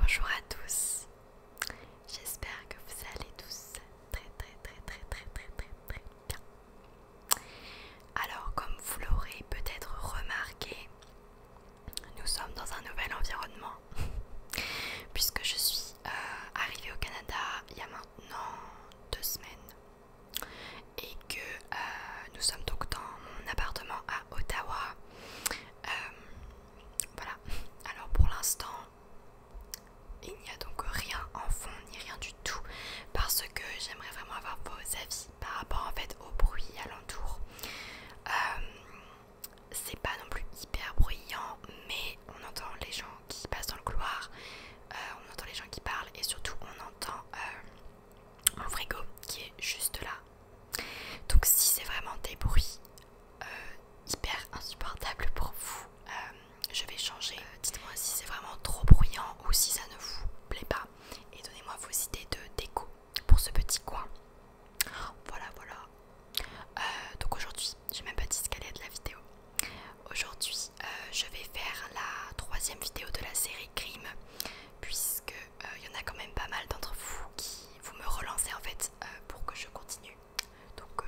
Bonjour à tous, j'espère que vous allez tous très très très très très très très très bien. Alors comme vous l'aurez peut-être remarqué, nous sommes dans un nouvel environnement puisque je suis euh, arrivée au Canada il y a maintenant deux semaines et que euh, nous sommes donc dans mon appartement à Ottawa. Euh, voilà, alors pour l'instant, il n'y a donc rien en fond ni rien du tout parce que j'aimerais vraiment avoir vos avis par rapport en fait au bruit alentour. Euh, c'est pas non plus hyper bruyant, mais on entend les gens qui passent dans le couloir, euh, on entend les gens qui parlent et surtout on entend euh, un frigo qui est juste là. Donc si c'est vraiment des bruits euh, hyper insupportables pour vous, je vais changer. Dites-moi si c'est vraiment trop bruyant ou si ça ne vous plaît pas et donnez-moi vos idées de déco pour ce petit coin. Voilà, voilà. Euh, donc aujourd'hui, j'ai même pas dit ce qu'elle est de la vidéo. Aujourd'hui, euh, je vais faire la troisième vidéo de la série Crime, puisque il euh, y en a quand même pas mal d'entre vous qui vous me relancez en fait pour que je continue. Donc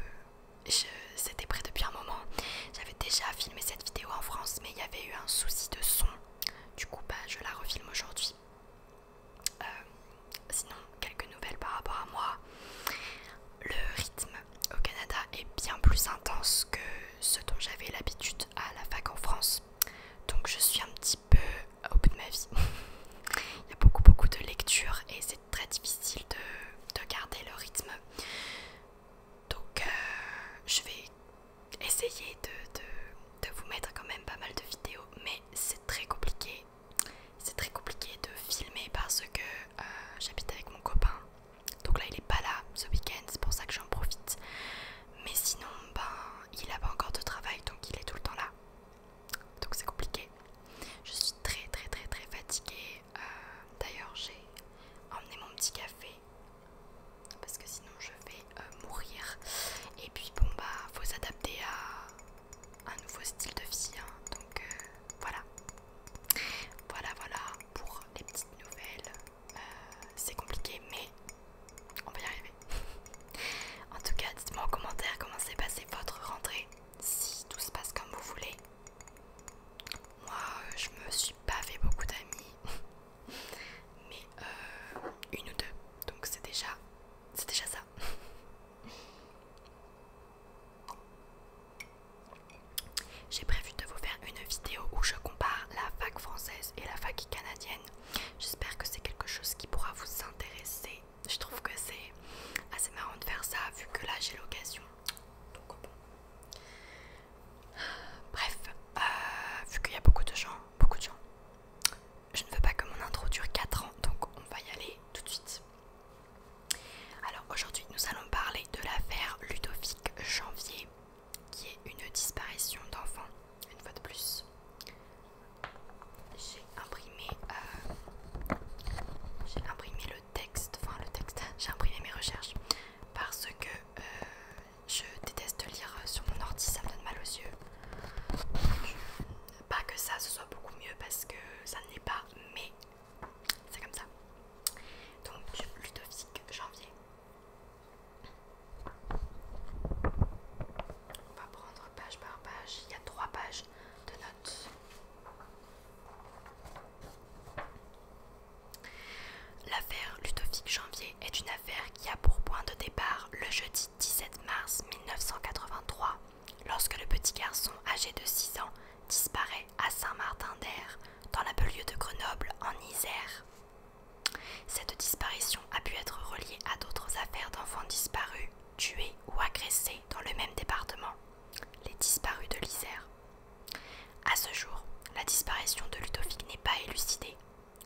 c'était prêt depuis un moment. J'avais déjà filmé cette vidéo en France, mais il y avait eu un souci de son. Du coup, bah, je la refilme aujourd'hui. Euh, sinon, quelques nouvelles par rapport à moi. Le rythme au Canada est bien plus intense que ce dont j'avais l'habitude à la fac en France. Donc je suis un petit peu au bout de ma vie. Il y a beaucoup beaucoup de lectures et c'est très difficile de, garder le rythme. Donc euh, je vais essayez de, de, vous mettre quand même pas mal de vidéos, mais c'est très compliqué. C'est très compliqué de filmer parce que euh, j'habite avec mon copain. Donc là, il est pas là ce week-end, c'est pour ça que j'en profite. Mais sinon, ben, il a pas encore de travail, donc il est tout le temps là. Donc c'est compliqué. Je suis très très très très fatiguée. Euh, d'ailleurs, j'ai emmené mon petit café parce que sinon je vais euh, mourir. Et puis bon bah faut s'adapter à un nouveau style de vie. Hein. Donc euh, voilà. Voilà voilà pour les petites nouvelles. Euh, c'est compliqué mais on va y arriver. en tout cas dites-moi en commentaire comment s'est passé votre rentrée. Si tout se passe comme vous voulez. Moi je me suis pas fait beaucoup d'amis. mais euh, une ou deux. Donc c'est déjà, c'est déjà ça. J'ai prévu de vous faire une vidéo où je compare la fac française et la fac canadienne. J'espère que c'est quelque chose qui pourra vous intéresser. Je trouve que c'est assez marrant de faire ça vu que là j'ai l'occasion. Donc Bref, euh, vu qu'il y a beaucoup de gens, beaucoup de gens, je ne veux pas que mon intro dure 4 ans, donc on va y aller tout de suite. Alors aujourd'hui, nous allons parler de l'affaire Ludovic Janvier, qui est une disparition d'enfants, une fois de plus. J'ai imprimé, euh, imprimé le texte, enfin le texte, j'ai imprimé mes recherches, parce que euh, je déteste lire sur mon ordi, ça me donne mal aux yeux. Pas que ça, ce soit beaucoup mieux parce que ça ne l'est pas, mais c'est comme ça. Donc, Ludovic, janvier. On va prendre page par page. Il y a trois pages de notes. L'affaire Ludovic Janvier est une affaire qui a pour point de départ le jeudi 17 mars 1983, lorsque le petit garçon âgé de 6 ans disparaît à Saint-Martin-d'Air, dans la de Grenoble, en Isère. Cette disparition a pu être reliée à d'autres affaires d'enfants disparus, tués ou agressés dans le même département, les disparus de l'Isère. À ce jour, la disparition de Ludovic n'est pas élucidée,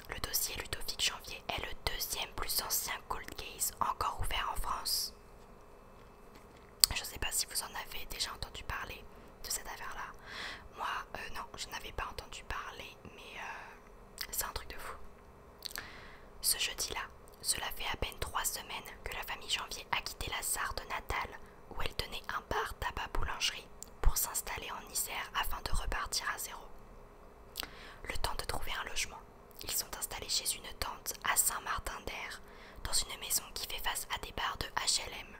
le dossier Ludovic Janvier est le deuxième plus ancien cold case encore ouvert en France. Je ne sais pas si vous en avez déjà entendu parler de cette affaire-là. Moi, euh, non, je n'avais pas entendu parler, mais euh, c'est un truc de fou. Ce jeudi-là, cela fait à peine trois semaines que la famille Janvier a quitté la Sarthe natale, où elle tenait un bar tabac-boulangerie, pour s'installer en Isère afin de repartir à zéro. Le temps de trouver un logement, ils sont installés chez une tante à Saint-Martin-d'Air, dans une maison qui fait face à des bars de HLM.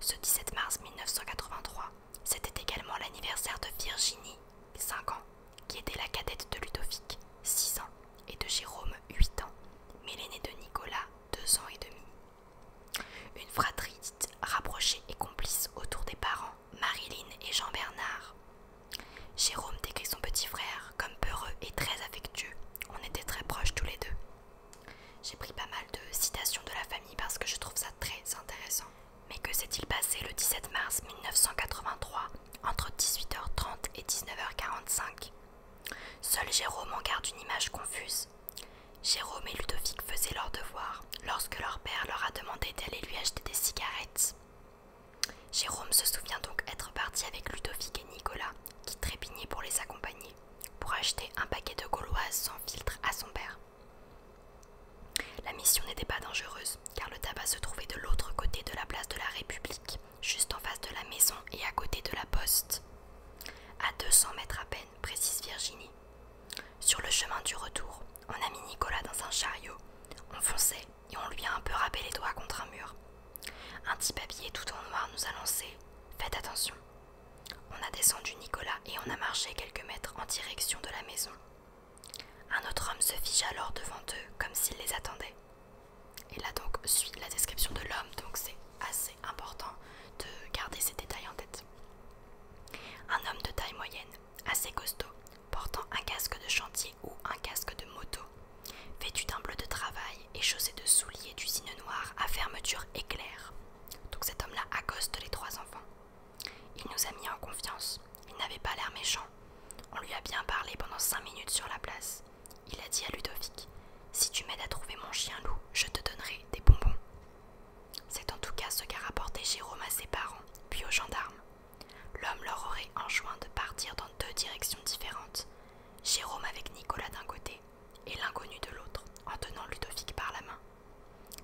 Ce 17 mars 1983, c'était également l'anniversaire de Virginie, 5 ans, qui était la cadette de Ludovic, 6 ans, et de Jérôme, 8 ans, mais l'aîné de Nicolas, 2 ans et demi. Une fratrie dite rapprochée et complice autour des parents, Marilyn et Jean Bernard. Jérôme décrit son petit frère comme peureux et très affectueux. On était très proches tous les deux. J'ai pris pas mal de citations de la famille parce que je trouve ça très intéressant. Mais que s'est-il passé le 17 mars 1983 entre 18h30 et 19h45 Seul Jérôme en garde une image confuse. Jérôme et Ludovic faisaient leur devoir lorsque leur père leur a demandé d'aller lui acheter des cigarettes. Jérôme se souvient donc être parti avec Ludovic et Nicolas, qui trépignaient pour les accompagner, pour acheter un paquet de gauloises sans filtre à son père. La mission n'était pas dangereuse, car le tabac se trouvait de l'autre côté de la place de la République, juste en face de la maison et à côté de la poste. À 200 mètres à peine, précise Virginie, sur le chemin du retour, on a mis Nicolas dans un chariot, on fonçait et on lui a un peu râpé les doigts contre un mur. Un petit papier tout en noir nous a lancé Faites attention. On a descendu Nicolas et on a marché quelques mètres en direction de la maison. Un autre homme se fige alors devant eux comme s'il les attendait. Il a donc suivi la description de l'homme, donc c'est assez important de garder ces détails en tête. Un homme de taille moyenne, assez costaud, portant un casque de chantier ou un casque de moto, vêtu d'un bleu de travail et chaussé de souliers d'usine noire à fermeture éclair. Donc cet homme-là accoste les trois enfants. Il nous a mis en confiance, il n'avait pas l'air méchant. On lui a bien parlé pendant cinq minutes sur la place. Il a dit à Ludovic Si tu m'aides à trouver mon chien loup, je te donnerai des bonbons. C'est en tout cas ce qu'a rapporté Jérôme à ses parents, puis aux gendarmes. L'homme leur aurait enjoint de partir dans deux directions différentes, Jérôme avec Nicolas d'un côté et l'inconnu de l'autre, en tenant Ludovic par la main.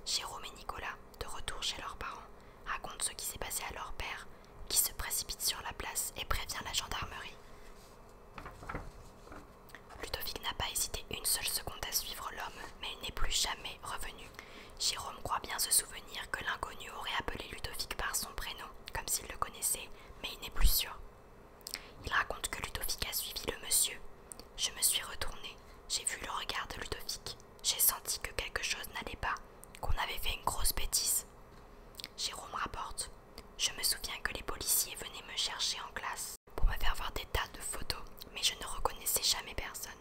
Jérôme et Nicolas, de retour chez leurs parents, racontent ce qui s'est passé à leur père, qui se précipite sur la place et prévient la gendarmerie. Ludovic n'a pas hésité une seule seconde à suivre l'homme, mais il n'est plus jamais revenu. Jérôme croit bien se souvenir que l'inconnu aurait appelé Ludovic par son prénom, comme s'il le connaissait, mais il n'est plus sûr. Il raconte que Ludovic a suivi le monsieur. Je me suis retournée, j'ai vu le regard de Ludovic, j'ai senti que quelque chose n'allait pas, qu'on avait fait une grosse bêtise. Jérôme rapporte. Je me souviens que les policiers venaient me chercher en classe pour me faire voir des tas de photos, mais je ne reconnaissais jamais personne.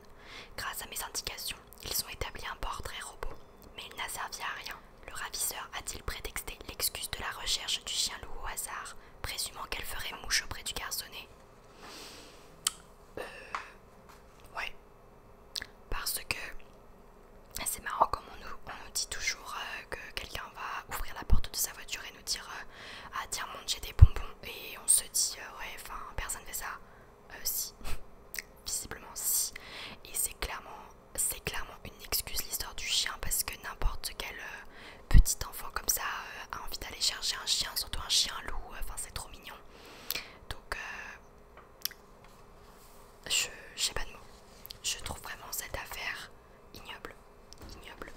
Grâce à mes indications, ils ont établi un portrait robot, mais il n'a servi à rien. Le ravisseur a-t-il prétexté l'excuse de la recherche du chien loup au hasard, présumant qu'elle ferait mouche auprès du garçonnet Euh. Ouais. Parce que. C'est marrant comme on nous, dit toujours euh, que quelqu'un va ouvrir la porte de sa voiture et nous dire euh, Ah, tiens, monte, j'ai des bonbons et on se dit euh, ouais enfin personne fait ça euh, si visiblement si et c'est clairement c'est clairement une excuse l'histoire du chien parce que n'importe quel euh, petit enfant comme ça euh, a envie d'aller chercher un chien surtout un chien loup enfin c'est trop mignon donc je sais pas de mots je trouve vraiment cette affaire ignoble ignoble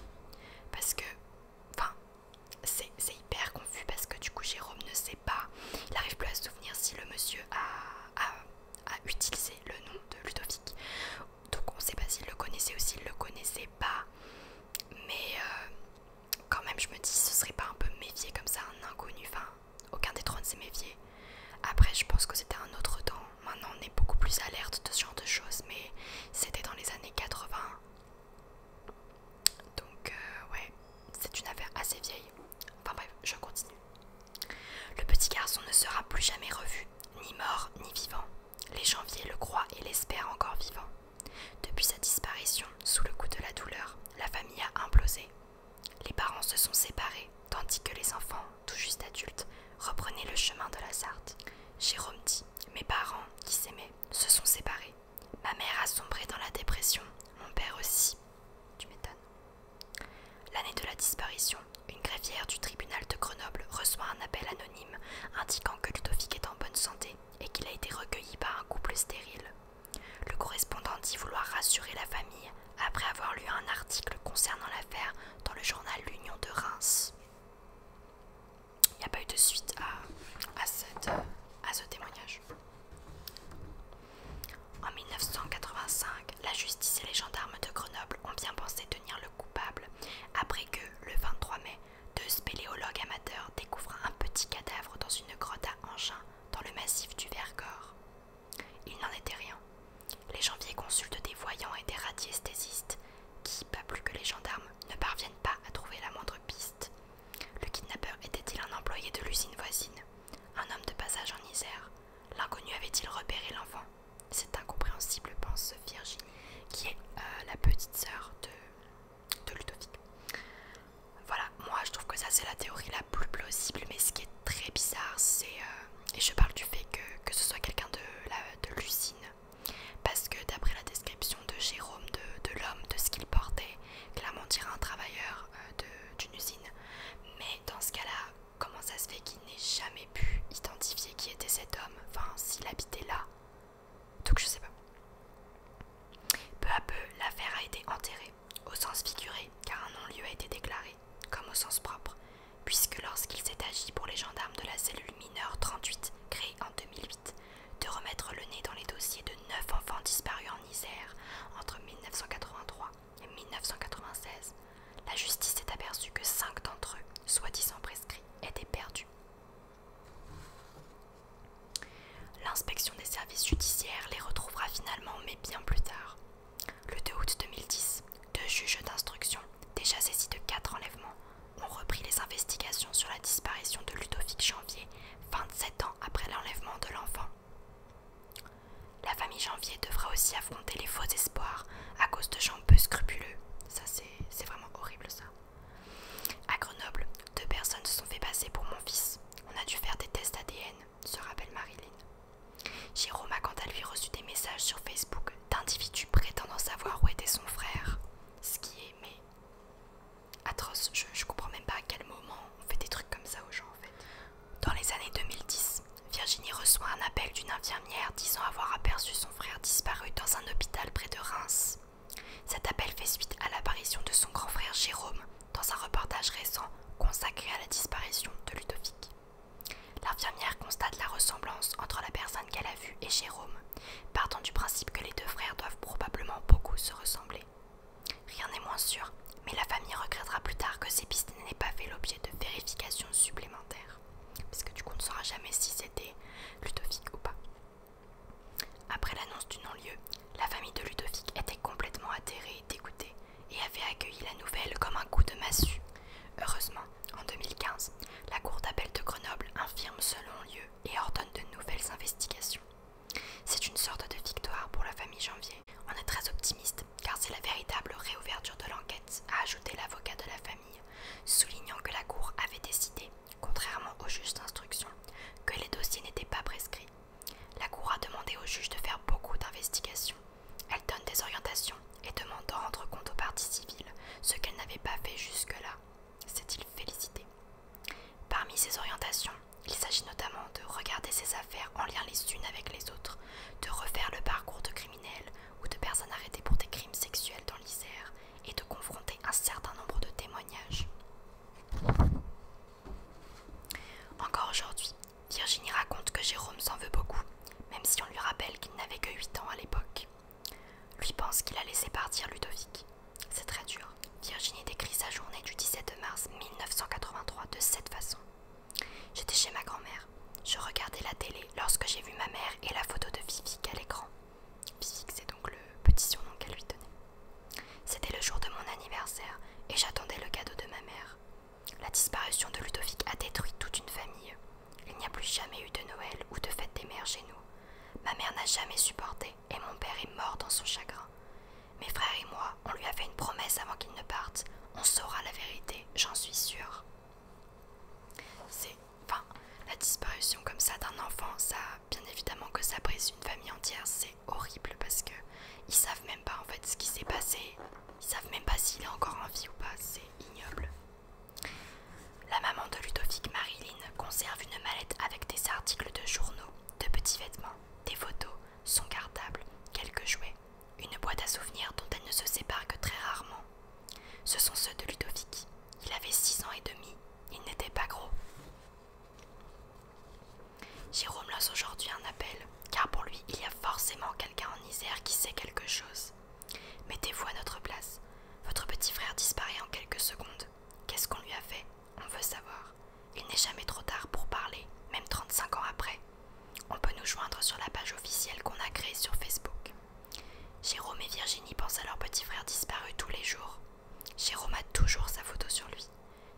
parce que enfin c'est hyper confus parce que du coup Jérôme ne sait pas, il arrive plus à se souvenir si le monsieur a, utilisé le nom de Ludovic. Donc on ne sait pas s'il le connaissait ou s'il le connaissait pas. Mais euh, quand même je me dis ce serait pas un peu méfié comme ça, un inconnu. Enfin, aucun des trois ne s'est méfié. Après je pense que c'était un autre temps. Maintenant on est beaucoup plus alerte de ce genre de choses, mais c'était dans les années 80. Donc euh, ouais, c'est une affaire assez vieille. Enfin bref, je continue. Le petit garçon ne sera plus jamais revu, ni mort, ni vivant. Les janviers le croient et l'espèrent encore vivant. Depuis sa disparition, sous le coup de la douleur, la famille a implosé. Les parents se sont séparés, tandis que les enfants, tout juste adultes, reprenaient le chemin de la Sarthe. Jérôme dit Mes parents, qui s'aimaient, se sont séparés. Ma mère a sombré dans la dépression, mon père aussi. Tu m'étonnes. L'année de la disparition, une greffière du tribunal de Grenoble reçoit un appel anonyme indiquant que Ludovic est en bonne santé et qu'il a été recueilli par un couple stérile. Le correspondant dit vouloir rassurer la famille après avoir lu un article concernant l'affaire dans le journal L'Union de Reims il n'y a pas eu de suite à, ce témoignage. En 1985, la justice et les gendarmes de Grenoble ont bien pensé tenir le coupable après que, le 23 mai, deux spéléologues amateurs découvrent un petit cadavre dans une grotte à engin dans le massif du Vercors. Il n'en était rien. Les janviers consultent des voyants et des radiesthésistes qui, pas plus que les gendarmes, ne parviennent pas à trouver la moindre piste. Le kidnappeur était-il un employé de l'usine voisine Un homme de passage en Isère L'inconnu avait-il repéré l'enfant C'est incompréhensible, pense Virginie, qui est euh, la petite sœur de, de Ludovic. Voilà, moi je trouve que ça c'est la théorie la plus plausible, mais ce qui est très bizarre, c'est... Euh, et je parle du fait que, que ce soit quelqu'un de l'usine parce que d'après la description de Jérôme, de, l'homme, de ce qu'il portait, clairement un travailleur euh, d'une usine. Mais dans ce cas-là, comment ça se fait qu'il n'ait jamais pu identifier qui était cet homme Enfin, s'il habitait là. Donc je sais pas. Peu à peu, l'affaire a été enterrée, au sens figuré, car un non-lieu a été déclaré, comme au sens propre, puisque lorsqu'il s'est agi pour les gendarmes de la cellule mineure 38, créée en 2008, de remettre le nez dans les dossiers de neuf enfants disparus en Isère entre 1983 et 1996, la justice s'est aperçue que cinq d'entre eux, soi-disant prescrits, étaient perdus. L'inspection des services judiciaires les retrouvera finalement, mais bien plus tard. Le 2 août 2010, deux juges d'instruction, déjà saisis de quatre enlèvements, ont repris les investigations sur la disparition de Ludovic Janvier 27 ans après l'enlèvement de l'enfant. La famille Janvier devra aussi affronter les faux espoirs à cause de gens peu scrupuleux. Ça, c'est vraiment horrible, ça. À Grenoble, deux personnes se sont fait passer pour mon fils. On a dû faire des tests ADN, se rappelle Marilyn. Jérôme a quant à lui reçu des messages sur Facebook d'individus prétendant savoir où était son frère. Ce qui est, mais atroce. Je, comprends même pas à quel moment on fait des trucs comme ça aux gens en fait. Dans les années 2010, Virginie reçoit un appel d'une infirmière disant avoir aperçu son frère disparu dans un hôpital près de Reims. Cet appel fait suite à l'apparition de son grand frère Jérôme dans un reportage récent consacré à la disparition de Ludovic. L'infirmière constate la ressemblance entre la personne qu'elle a vue et Jérôme, Partant du principe que les deux frères doivent probablement beaucoup se ressembler. Rien n'est moins sûr, mais la famille regrettera plus tard que ces pistes n'aient pas fait l'objet de vérifications supplémentaires. Parce que du coup, on ne saura jamais si c'était Ludovic ou pas. Après l'annonce du non-lieu, la famille de Ludovic était complètement atterrée et dégoûtée et avait accueilli la nouvelle comme un coup de massue. Heureusement, en 2015, la Cour d'appel de Grenoble infirme ce non-lieu et ordonne de nouvelles investigations. C'est une sorte de victoire pour la famille Janvier. On est très optimiste car c'est la véritable réouverture de l'enquête, a ajouté l'avocat de la famille, soulignant que la Cour avait décidé, contrairement aux justes instructions, que les dossiers n'étaient pas prescrits. La Cour a demandé au juge de faire beaucoup d'investigations. Elle donne des orientations et demande de rendre compte aux parties civiles, ce qu'elle n'avait pas fait jusque-là s'est-il félicité. Parmi ses orientations, il s'agit notamment de regarder ses affaires en lien les unes avec les autres, de refaire le parcours de criminels ou de personnes arrêtées pour des crimes sexuels dans l'Isère et de confronter un certain nombre de témoignages. Encore aujourd'hui, Virginie raconte que Jérôme s'en veut beaucoup, même si on lui rappelle qu'il n'avait que 8 ans à l'époque. Lui pense qu'il a laissé partir Ludovic. C'est très dur. Virginie décrit sa journée du 17 mars 1983 de cette façon. J'étais chez ma grand-mère. Je regardais la télé lorsque j'ai vu ma mère et la photo de Vivic à l'écran. Vivic, c'est donc le petit surnom qu'elle lui donnait. C'était le jour de mon anniversaire et j'attendais le cadeau de ma mère. La disparition de Ludovic a détruit toute une famille. Il n'y a plus jamais eu de Noël ou de fête des mères chez nous. Ma mère n'a jamais supporté et mon père est mort dans son chagrin. Mes frères et moi, on lui a fait une promesse avant qu'il ne parte. On saura la vérité, j'en suis sûre. C'est. Enfin, la disparition comme ça d'un enfant, ça. Bien évidemment que ça brise une famille entière, c'est horrible parce que. Ils savent même pas en fait ce qui s'est passé. Ils savent même pas s'il est encore en vie ou pas, c'est ignoble. La maman de Ludovic, Marilyn, conserve une mallette avec des articles de journaux, de petits vêtements, des photos, son cartable, quelques jouets, une boîte à souvenirs dont elle ne se sépare que très rarement. Ce sont ceux de Ludovic. Il avait six ans et demi, il n'était pas gros. Jérôme lance aujourd'hui un appel, car pour lui il y a forcément quelqu'un en Isère qui sait quelque chose. Mettez-vous à notre place. Votre petit frère disparaît en quelques secondes. Qu'est-ce qu'on lui a fait On veut savoir. Il n'est jamais trop tard pour parler, même 35 ans après. On peut nous joindre sur la page officielle qu'on a créée sur Facebook. Jérôme et Virginie pensent à leur petit frère disparu tous les jours. Jérôme a toujours sa photo sur lui.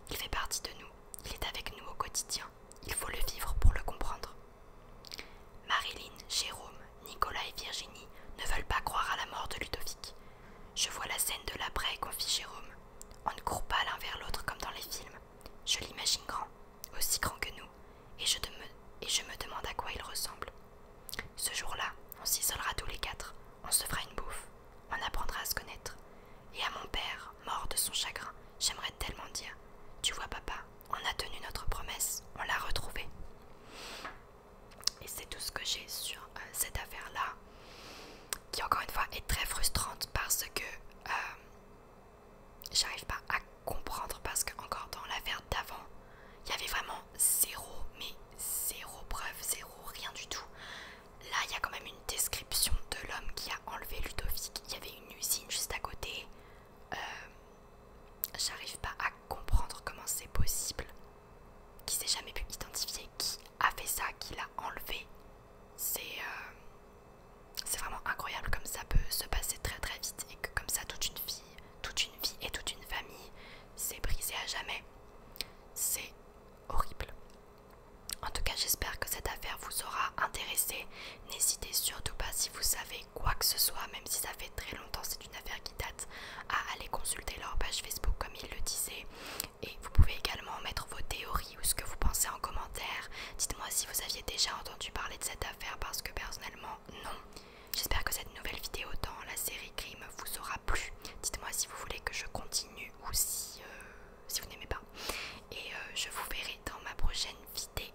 Il fait partie de nous. Il est avec nous au quotidien. Il faut le vivre pour le comprendre. Marilyn, Jérôme, Nicolas et Virginie ne veulent pas croire à la mort de Ludovic. Je vois la scène de l'après, fit Jérôme. On ne court pas l'un vers l'autre comme dans les films. Je l'imagine grand, aussi grand que nous, et je, et je me demande à quoi il ressemble. Ce jour-là, on s'isolera tous les quatre, on se fera une bouffe, on apprendra à se connaître. Et à mon père, mort de son chagrin, j'aimerais tellement dire Tu vois, papa, on a tenu notre promesse, on l'a retrouvée. Et c'est tout ce que j'ai sur euh, cette affaire-là, qui encore une fois est très frustrante parce que euh, j'arrive pas à comprendre parce que encore dans l'affaire d'avant, il y avait vraiment zéro, mais zéro preuve, zéro rien du tout. Là, il y a quand même une description de l'homme qui a enlevé Ludovic. Il y avait une usine juste à côté. Euh, J'arrive pas à comprendre comment c'est possible. Qui s'est jamais pu identifier qui a fait ça, qui l'a enlevé. C'est euh, c'est vraiment incroyable comme ça peut se passer très très vite et que comme ça toute une vie, toute une vie et toute une famille s'est brisée à jamais. C'est horrible. En tout cas j'espère que cette affaire vous aura intéressé. N'hésitez surtout pas si vous savez quoi que ce soit, même si ça fait très longtemps, c'est une affaire qui date, à aller consulter leur page Facebook comme ils le disaient. Et vous pouvez également mettre vos théories ou ce que vous pensez en commentaire. Dites-moi si vous aviez déjà entendu parler de cette affaire parce que personnellement, non. J'espère que cette nouvelle vidéo dans la série Crime vous aura plu. Dites-moi si vous voulez que je continue ou si, euh, si vous n'aimez pas. Et euh, je vous verrai dans ma prochaine vidéo.